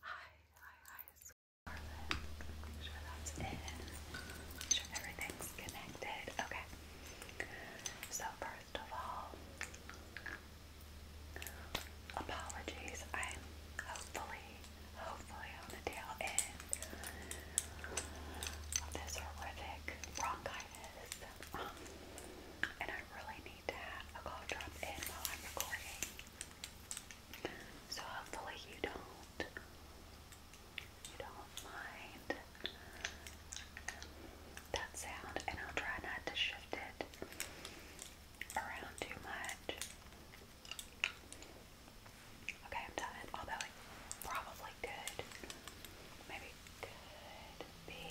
Hi, hi, hi, it's Make sure that's in. Make sure everything's connected. Okay. So, first of all, apologies. I'm hopefully, hopefully on the tail end of this horrific bronchitis. Um, and I really i So hopefully you don't you don't mind um, that sound and I'll try not to shift it around too much. Okay, I'm done. Although probably could maybe could be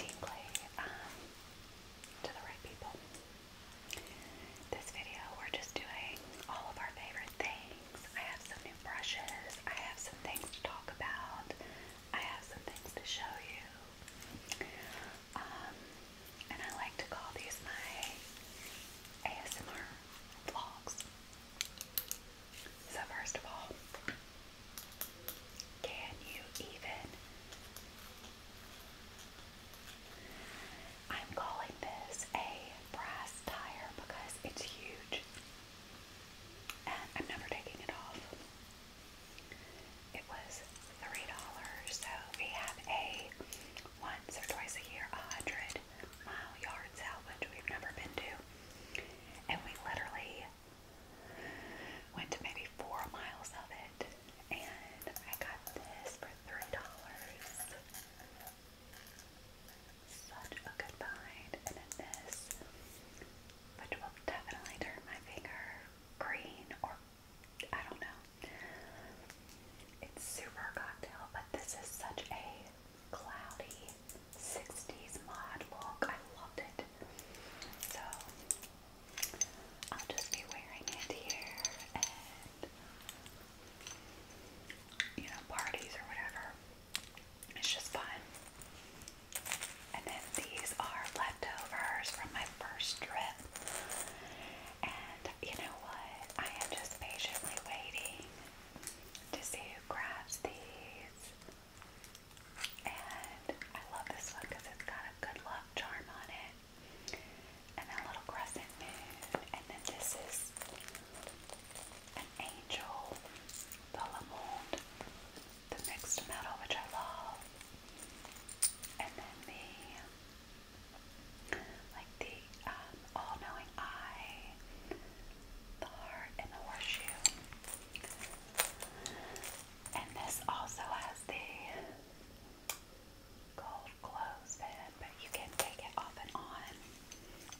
tingly. Um, to the right people. This video, we're just doing all of our favorite things. I have some new brushes, I have some things to talk about, I have some things to show you. Um, and I like to call these my ASMR vlogs. So, first of all, can you even? I'm calling this a brass tire because it's huge and I'm never taking it off. It was $3, so we have a once or twice a year, a hundred mile yard sale, we've never been to. And we literally Went maybe four miles of it, and I got this for three dollars. Such a good find, and this, which will definitely turn my finger green or I don't know. It's super cocktail, but this is such a cloudy 60s mod look. I loved it. So I'll just be wearing it here and you know, parties or whatever. It's just fun. And then these are leftovers from my first trip. And you know what? I am just patiently waiting to see who grabs these. And I love this one because it's got a good luck charm on it. And a little crescent moon. And then this is an angel, Bellamonde, the mixed metal, which I love. And then the, like the um, all-knowing eye, the heart, and the horseshoe. And this also has the gold clothespin, but you can take it off and on,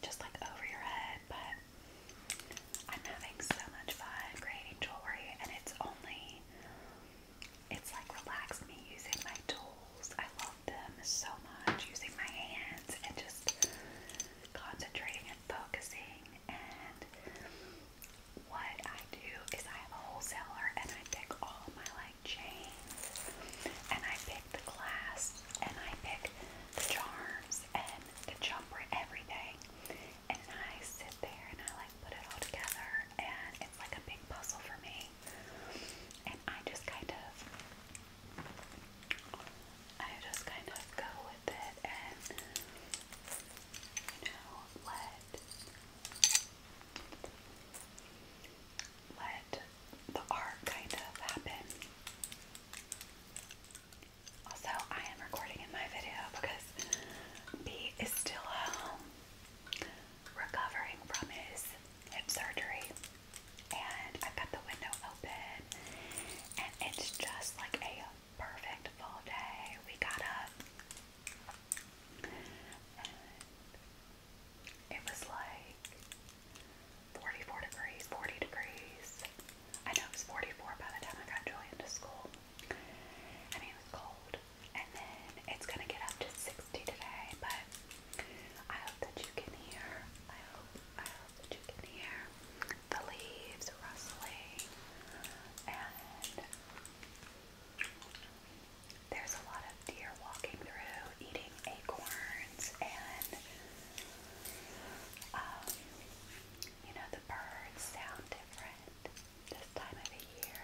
just like over your head. But I'm having so much fun creating jewelry, and it's only, it's like relaxed me using my tools. I love them so much, using my hands and just concentrating and focusing and what I do is I have a wholesaler and I pick all my like chains and I pick the clasps and I pick the charms and the jumper, everything. And I sit there and I like put it all together and it's like a big puzzle for me. And I just kind of I just kind of go with it and you know, let let the art kind of happen. Also, I am recording in my video because B is still home um, recovering from his hip surgery. And I've got the window open, and it's just like a perfect full day. We got up, and it was like 44 degrees, 40 degrees. I know it was 44 by the time I got Julian to school. I mean, it was cold. And then it's going to get up to 60 today, but I hope that you can hear, I hope, I hope that you can hear the leaves rustling and there's a lot of deer walking through, eating acorns, and um, you know, the birds sound different this time of the year.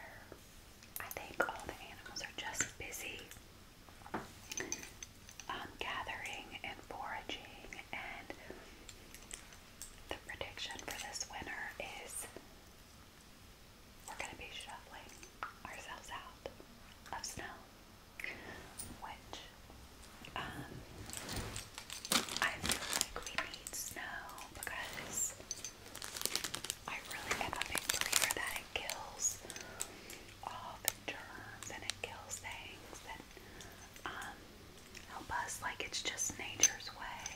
I think all the animals are just busy um, gathering and foraging and the prediction for this winter is we're going to be shoveling ourselves out of snow, which um, I feel like we need snow because I really am a big believer that it kills all the germs and it kills things um, help us like it's just nature's way,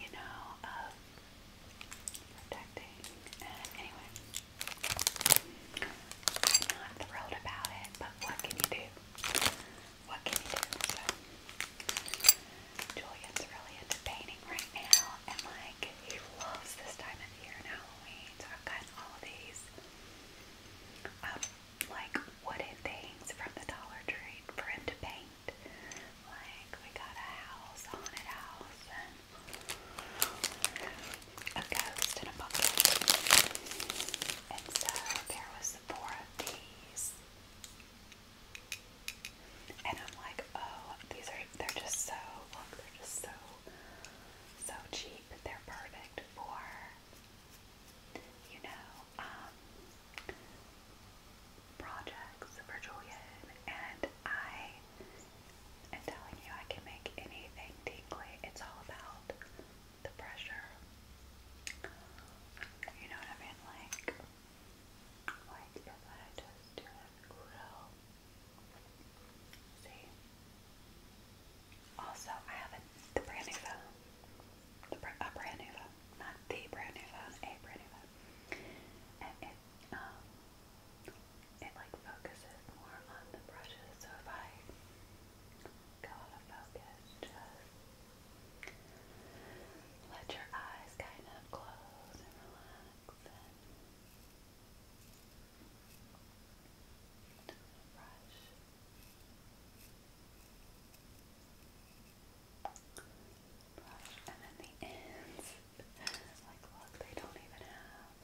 you know, of protecting. And anyway, I'm not thrilled about it, but what can you do? What can you do? So, Julian's really into painting right now, and like he loves this time of year Halloween. So I've gotten all these like wooden things from the Dollar Tree for him to paint. Like, we got a house, haunted house, and a ghost in a bucket. And so there was four of these. And I'm like, oh, these are, they're just so, they're just so, so cheap. They're perfect for you know, um, projects for Julian, and I am telling you, I can make anything tingly. It's all about the pressure. You know what I mean? Like, like if I just do it real. See? Also, I have the brand new phone a brand new phone, not the brand new phone, a brand new phone, and it um it like focuses more on the brushes. So if I go out of focus, just let your eyes kind of close and relax and. Brush and then the ends. like, look, they don't even have.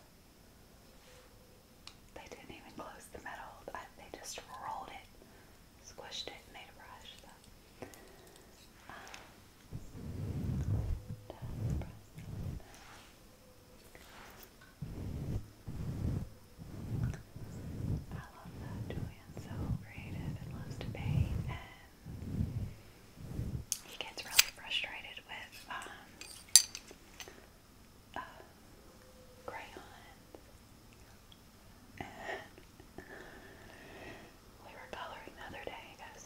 They didn't even close the metal. they just rolled it, squished it, made a brush. I love that Julian's so creative and loves to paint and he gets really frustrated with um, uh, crayons and we were coloring the other day, he goes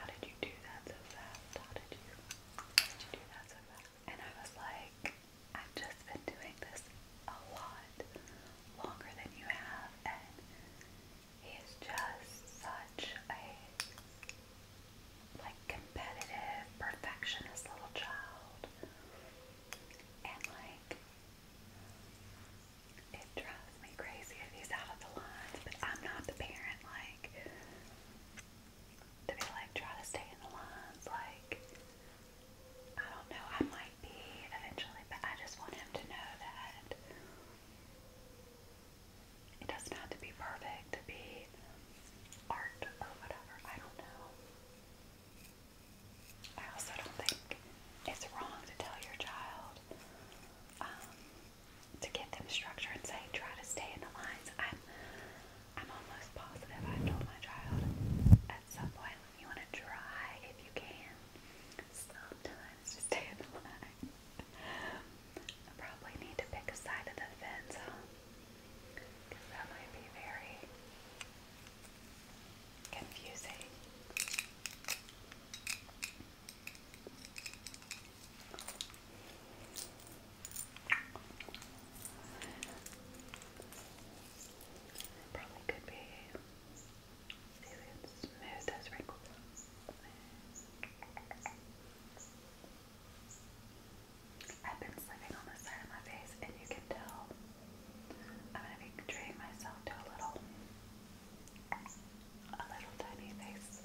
how did you do that so fast? How did you, how did you do that so fast? And I was like, I've just been doing this a lot longer than you have, and he's just such a like competitive perfectionist little child, and like it drives me crazy if he's out of the lines. But I'm not the parent, like to be like, try to stay in the lines. Like, I don't know, I might be eventually, but I just want him to know that it doesn't have to be perfect to be art or whatever. I don't know. I also don't think it's wrong to tell your child um, to get them structure and say, try to stay in the lines. I'm, I'm almost positive I've told my child at some point you want to try if you can. Sometimes to stay in the line. I probably need to pick a side of the fence, huh? Because that might be very confusing. Probably could be smooth those wrinkles. I've been sleeping on the side of my face, and you can tell I'm gonna be treating myself to a little, a little tiny face,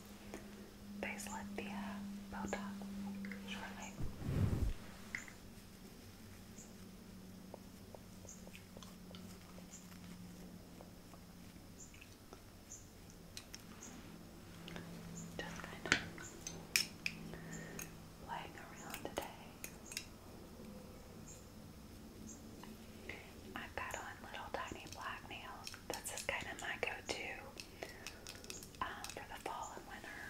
facelift via Botox shortly. Just kind of playing around today. I've got on little tiny black nails. This is kind of my go-to um, for the fall and winter.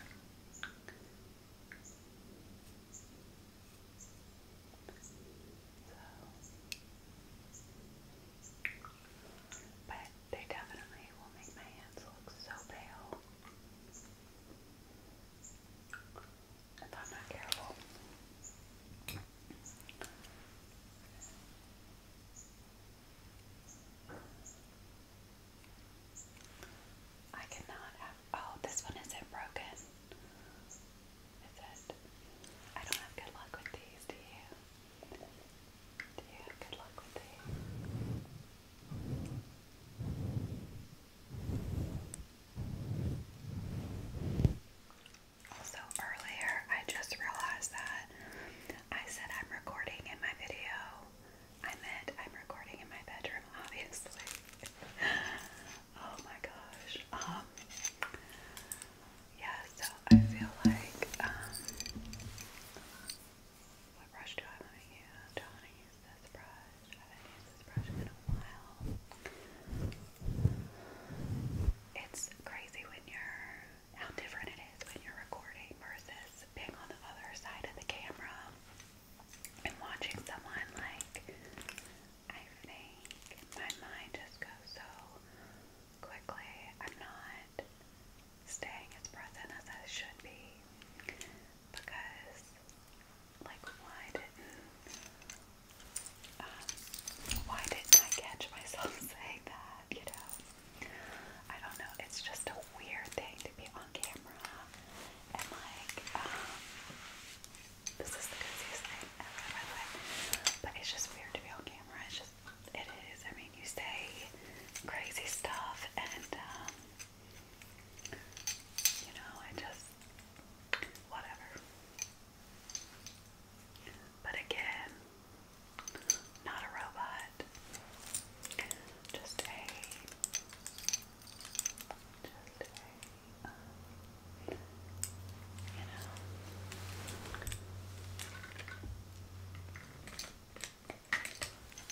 But they definitely will make my hands look so pale if I'm not careful. I cannot Oh, this one isn't broken. Is it? I don't have good luck with these, do you? Do you good luck with these? Also, earlier I just realized that I said I'm recording in my video I'm I'm recording in my bedroom, obviously. oh my gosh. Um, yeah, so I feel like, um, what brush do I want to use? don't want to use this brush. I haven't used this brush in a while. It's crazy when you're, how different it is when you're recording versus was being on the other side of the camera and watching someone like I think my mind just goes so quickly. I'm not staying as present as I should be because like why didn't um, why didn't I catch myself saying that, you know? I don't know, it's just a weird thing to be on camera and like, um, this is the craziest thing ever, by the way, but it's just weird to be on camera, it's just, it is, I mean, you say crazy stuff and, um, you know, I just, whatever. But again, not a robot just a, just a, you know,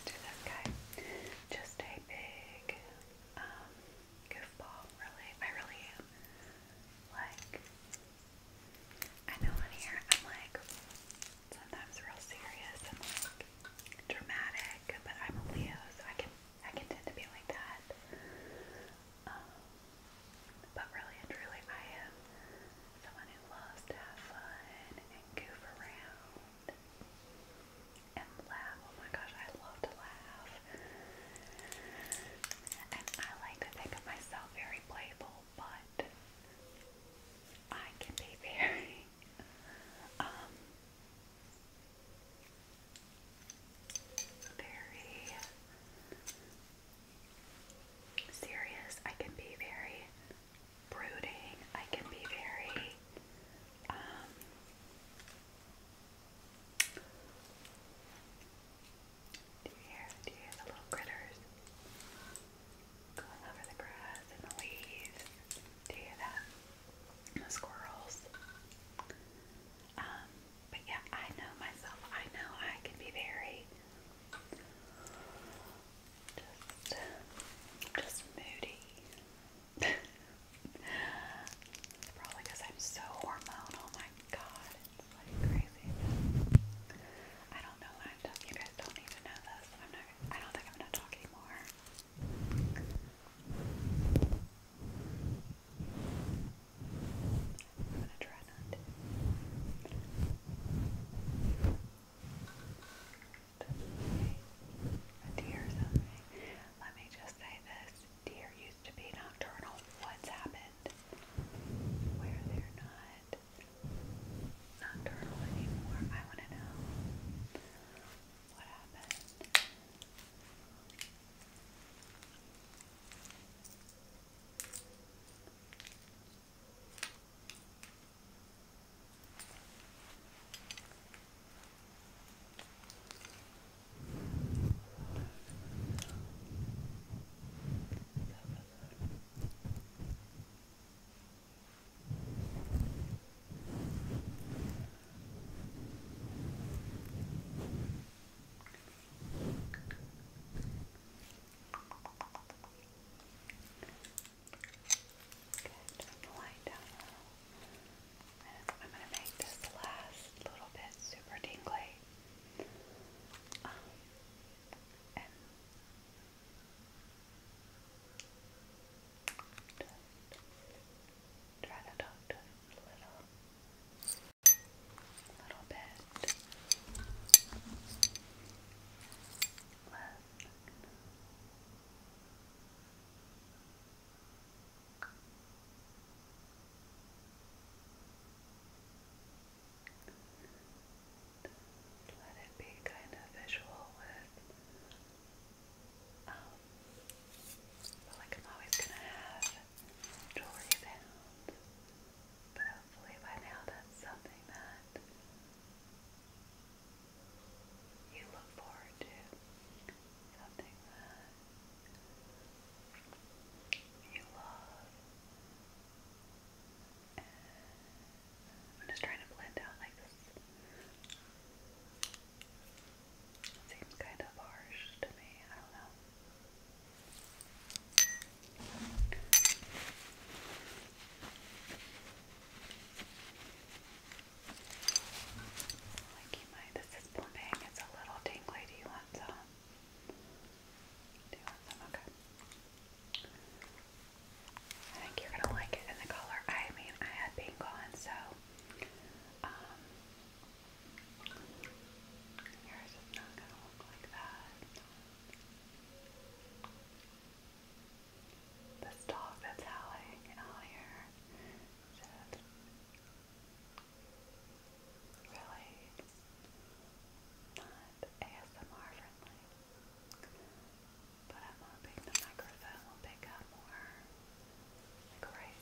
do that guy, just a big, um, goofball, really, I really am, like, I know in here, I'm like, sometimes real serious and like dramatic, but I'm a Leo, so I can I can tend to be like that. Um, but really and truly, I am someone who loves to have fun and goof around and laugh. Oh my gosh, I love to laugh. And I like to think of myself very playful, but I can be very um, very serious. I can be very brooding. I can be very um, do you hear do you hear the little critters? Going over the grass and the leaves. Do you hear that? the squirrels. Um, but yeah, I know myself. I know I can be very just, just moody. It's probably because I'm so hormonal. Oh my god, it's like crazy. I don't know why you guys don't need to know this. I'm not. I don't think I'm gonna anymore. I'm gonna try not to. A deer Let me just say this: deer used to be nocturnal. What's happened? Where they're not not turtle anymore. I want to know what happened lie down And I'm going to make this last little bit super tingly. Um, Try to talk to him a little, a little bit. Listen. Listen let it be kind of visual with, um, like I'm always gonna have jewelry sounds, but hopefully by now that's something that you look forward to, something that you love, I'm just trying to blend out like this. seems kind of harsh to me. I don't know. Like you might. This is plumping. It's a little tingly. Do you want some? Do you want some? Okay. I think you're gonna like it in the color. I mean, I had pink on, so um, yours is not gonna look like that. This dog that's howling out here should really not ASMR friendly. But I'm hoping the microphone will pick up more. I've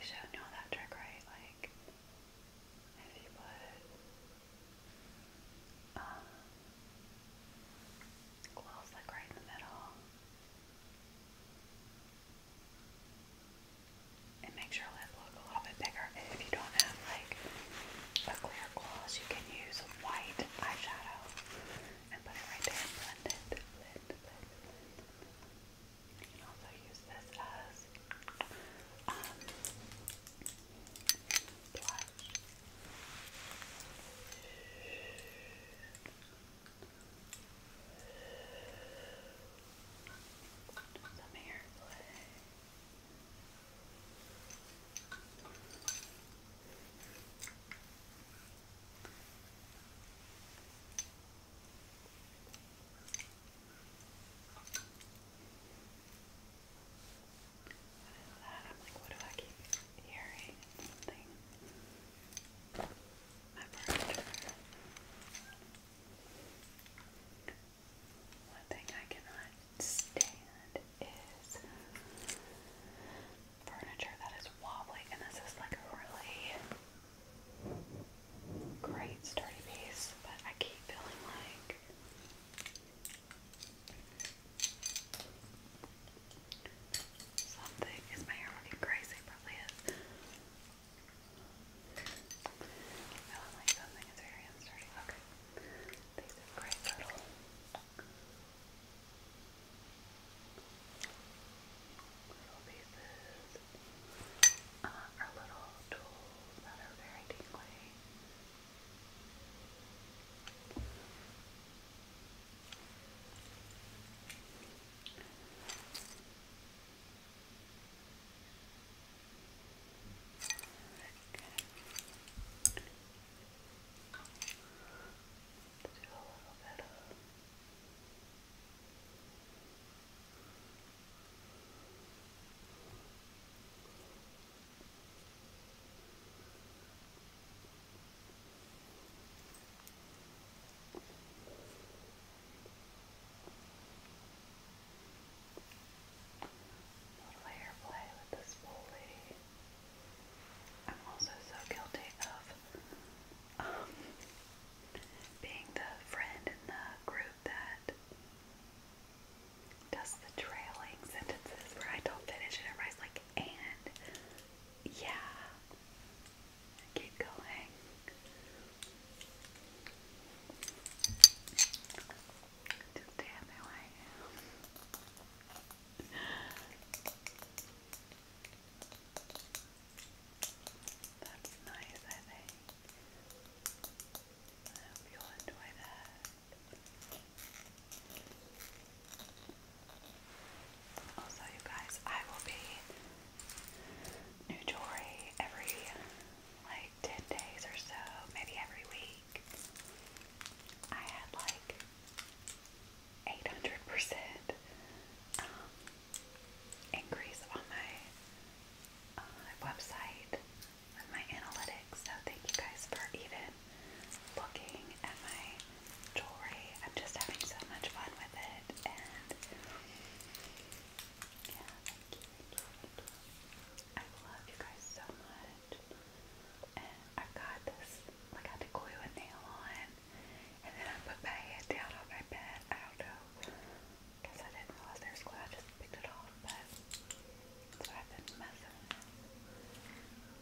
you that trick, right? Like, if you put um, like right in the middle, and makes your lip a little bit bigger. If you don't have like a clear gloss, you can use white eyeshadow and put it right there You can also use this as um, blush. What is that? I'm like, what do I keep hearing? It's something. My furniture. One thing I cannot stand is furniture that is wobbly, and this is like a really great sturdy piece, but I keep feeling like something is my hair looking crazy, probably is. I feel like something is very unsturdy. Okay. These are little little pieces are uh, little tools that are very tingly. Good. Let's do a little bit of Okay. Little hair play with this spoolie. I'm also so guilty of um, being the friend in the group that does the trailing sentences where I don't finish and everybody's like, and yeah. keep going. Just That's nice, I think. I hope you'll enjoy that. Also, you guys, I will be new jewelry every like 10 days or so, maybe every week, I had like 800% um, increase on my uh, website with my analytics. So, thank you guys for even looking at my jewelry. I'm just having so much fun with it. And yeah, thank you. I love you guys so much. And I've got this, like I had to glue a nail on, and then I put my head down on my bed. I don't know, because I didn't realize there was glue. I just picked it off, but so I've been messing with it.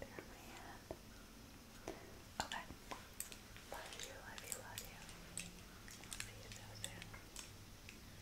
There's my hand. Okay. Love you, love you, love you. I'll see you so soon.